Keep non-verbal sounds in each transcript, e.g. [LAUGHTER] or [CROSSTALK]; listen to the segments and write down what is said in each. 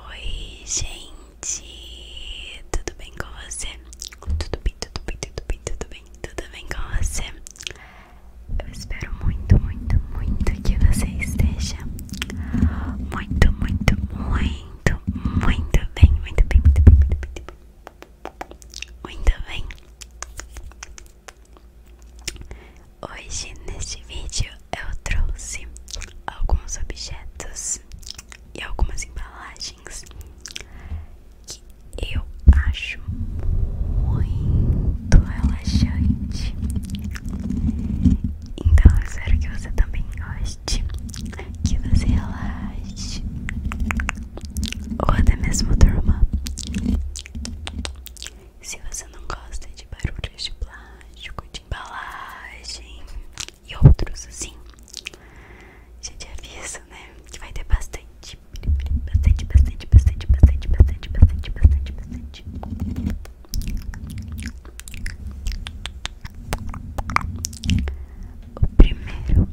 Oi, gente, tudo bem com você? tudo bem, tudo bem, tudo bem, tudo bem com você? Eu espero muito, muito, muito que você esteja muito, muito, muito, muito bem, muito bem, muito bem, muito bem, muito bem. Hoje neste vídeo eu trouxe alguns objetos e algumas embalagens que eu acho muito relaxante. Então eu espero que você também goste, que você relaxe ou até mesmo durma. Se você não gosta de barulhos de plástico, de embalagem e outros assim, já te aviso, né? Que vai ter bastante bastante, bastante, bastante, bastante, bastante, bastante, bastante, bastante. O primeiro, primeiro,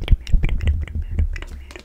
primeiro, primeiro, primeiro.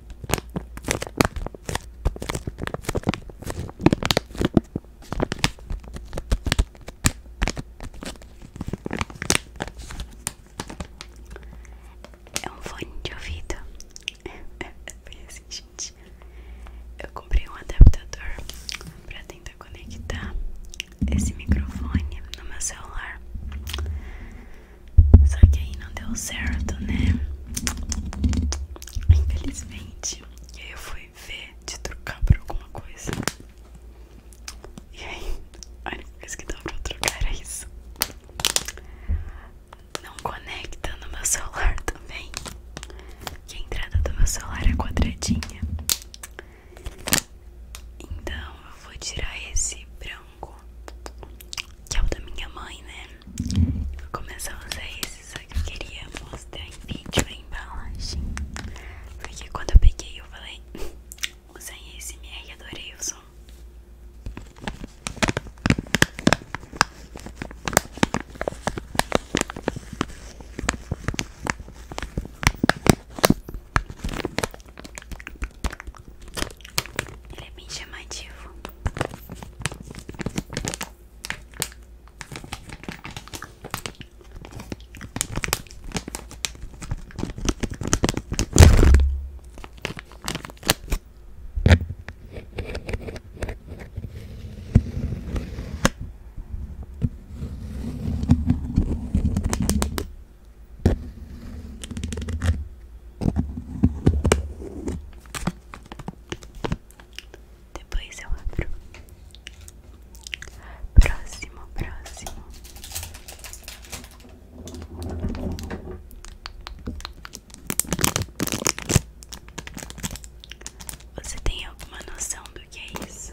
É um fone de ouvido. [LAUGHS] Foi assim, gente. Eu comprei um adaptador para tentar conectar esse microfone no meu celular. Só que aí não deu certo, né? Infelizmente. E aí eu fui ver de trocar por alguma coisa. E aí, a única coisa que dava pra trocar era é isso. Não conecta no meu celular [LAUGHS] também. Que a entrada do meu celular é quadradinha. Então eu vou tirar esse branco que é o da minha mãe, né? Vou começar a usar esse, só que eu queria mostrar em vídeo a embalagem. Porque quando eu peguei eu falei, [LAUGHS] usei esse e adorei o som. Ele é bem chamativo. Depois eu abro. Próximo, próximo. Você tem alguma noção do que é isso?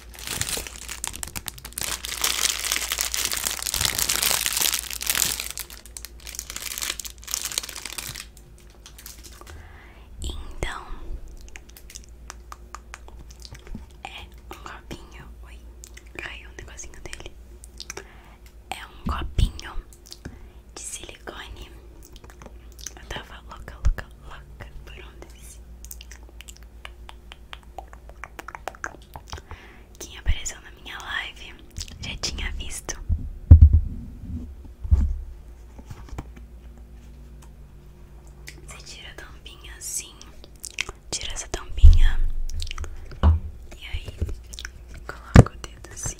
Então é um copinho. Oi, caiu um negocinho dele. É um copinho de silicone eu tava louca, louca, louca por um desse. Quem apareceu na minha live já tinha visto. Você tira a tampinha assim, tira essa tampinha e aí coloca o dedo assim.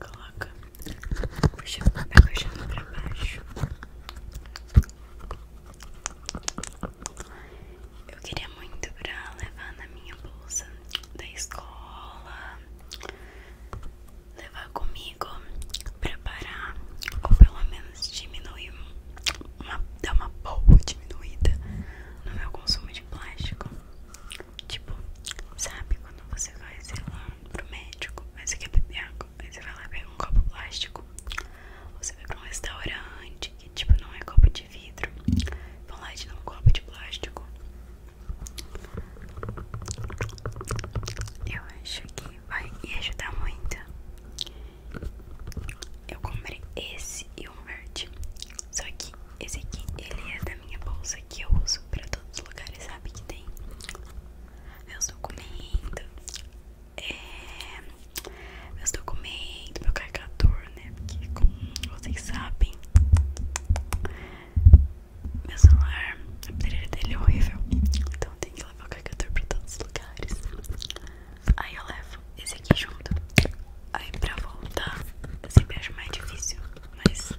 Coloca Puxa o papel eu pra baixo. Eu queria muito pra levar na minha bolsa da escola, levar comigo, preparar ou pelo menos diminuir, dar uma boa diminuída no meu consumo de plástico. Tipo, sabe quando você vai, sei lá, pro médico, mas você quer beber água, aí você vai lá e pega um copo plástico. você vai pra um restaurante que, tipo, não é copo de vidro. Vão lá e te dão um copo de plástico. Eu acho que vai ajudar muito. Eu comprei esse e um verde. Só que esse aqui, ele é da minha bolsa que eu uso pra todos os lugares que tem meus documentos, é, meu carregador, né? Porque como vocês sabem, meu celular, a bateria dele é horrível, então eu tenho que levar o carregador pra todos os lugares. Aí eu levo esse aqui junto. Aí pra voltar sempre acho mais difícil, mas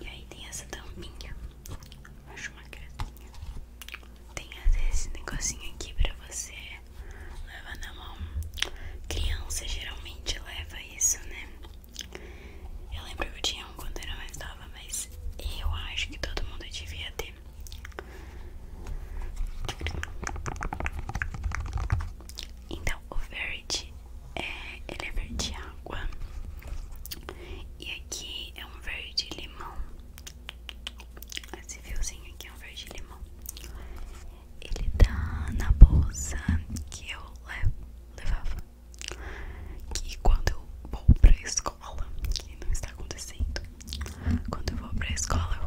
E aí tem essa tampinha. Acho uma gracinha. Tem esse negocinho aqui pra você levar na mão. Criança geralmente leva isso, né? Eu lembro que eu tinha um quando era mais nova, mas eu acho que todo mundo devia ter. Então o verde é, ele é verde água E aqui é um verde limão Esse fiozinho aqui é um verde limão Ele tá na bolsa que eu levava Que quando eu vou pra escola Que não está acontecendo Quando eu vou pra escola eu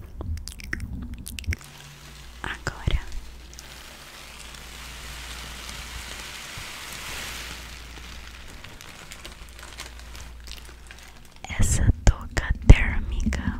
Agora essa toca térmica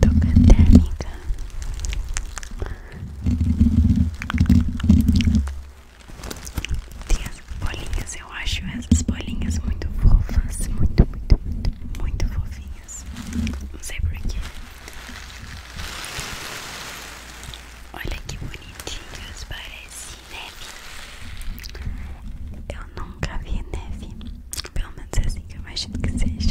Toca térmica Tem bolinhas, eu acho essas bolinhas muito fofas Muito, muito, muito, muito fofinhas não sei porquê. Olha que bonitinhos, parece neve. Eu nunca vi neve. Pelo menos é assim que eu imagino que seja.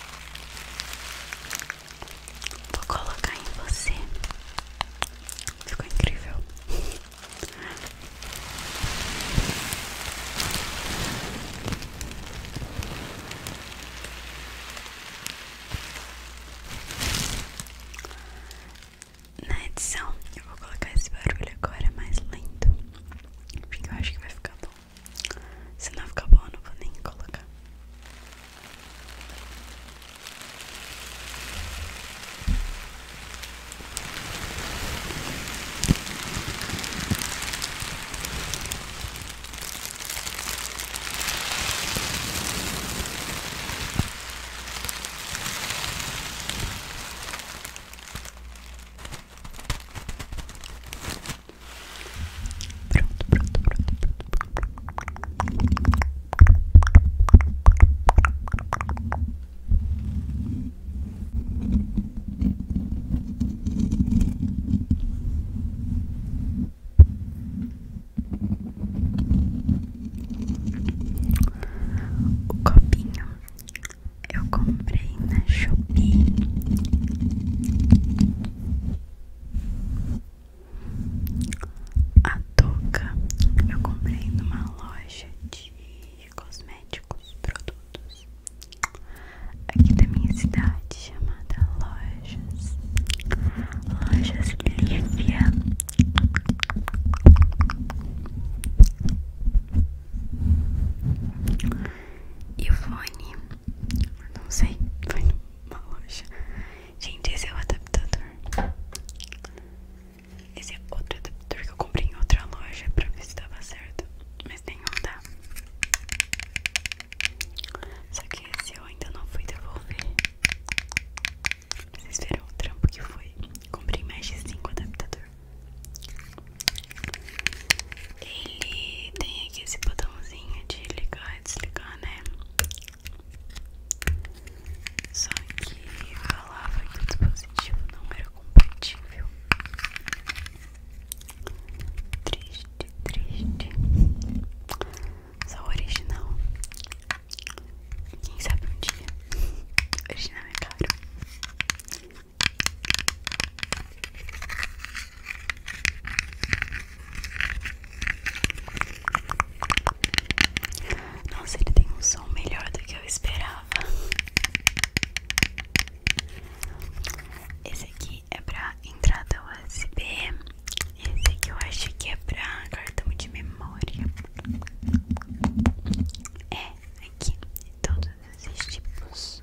Vou colocar em você. Ficou incrível. Na edição, eu vou colocar esse barulho agora mais lento, porque eu acho que vai ficar bom. Se não ficar boa, não vou nem colocar. Pronto, pronto, pronto, pronto. O copinho eu comprei na Shopee a touca. Eu comprei numa loja de cosméticos, produtos aqui da minha cidade chamada Lojas Lojas Lívia. Ivone, não sei, foi numa loja. Gente, esse é o adaptador. Esse é outro adaptador que eu comprei em outra loja pra ver se dava certo, mas nenhum dá. Só que esse eu ainda não fui devolver. Vocês viram o trampo que foi? Comprei mais de 5 adaptadores. Ele tem aqui esse botãozinho de ligar e desligar, né? Só que falava que o dispositivo não era compatível. Triste, triste. Só o original. Quem sabe um dia. [LAUGHS] Original é caro. Nossa, ele tem um som melhor do que eu esperava. Esse aqui é pra entrada USB. Esse aqui eu acho que é pra cartão de memória. É, aqui, todos esses tipos.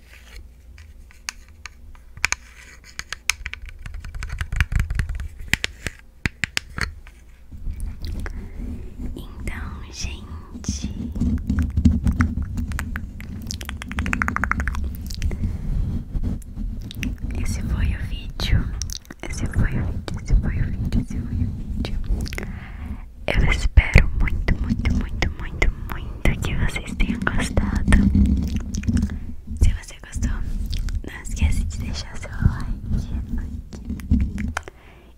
Então, gente, esse foi o vídeo. Esse foi o vídeo. Esse foi o vídeo. Esse foi o vídeo. Eu espero muito, muito, muito, muito, muito que vocês tenham gostado. Se você gostou, não esquece de deixar seu like.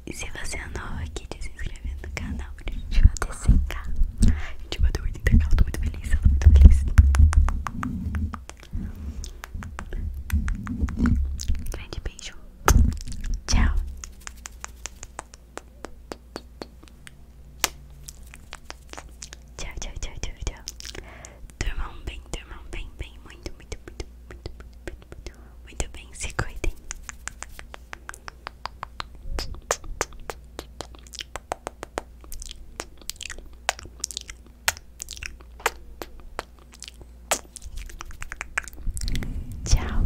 E se você é novo aqui, de se inscrever no canal, pra gente bater 100k. A gente bateu 80k, eu tô muito feliz, eu tô muito feliz. Grande beijo. Tchau. Tchau, tchau, tchau, tchau, tchau. Durmam bem, durmam bem, bem. Muito, muito, muito, muito, muito, muito, muito bem. Se cuidem. Tchau.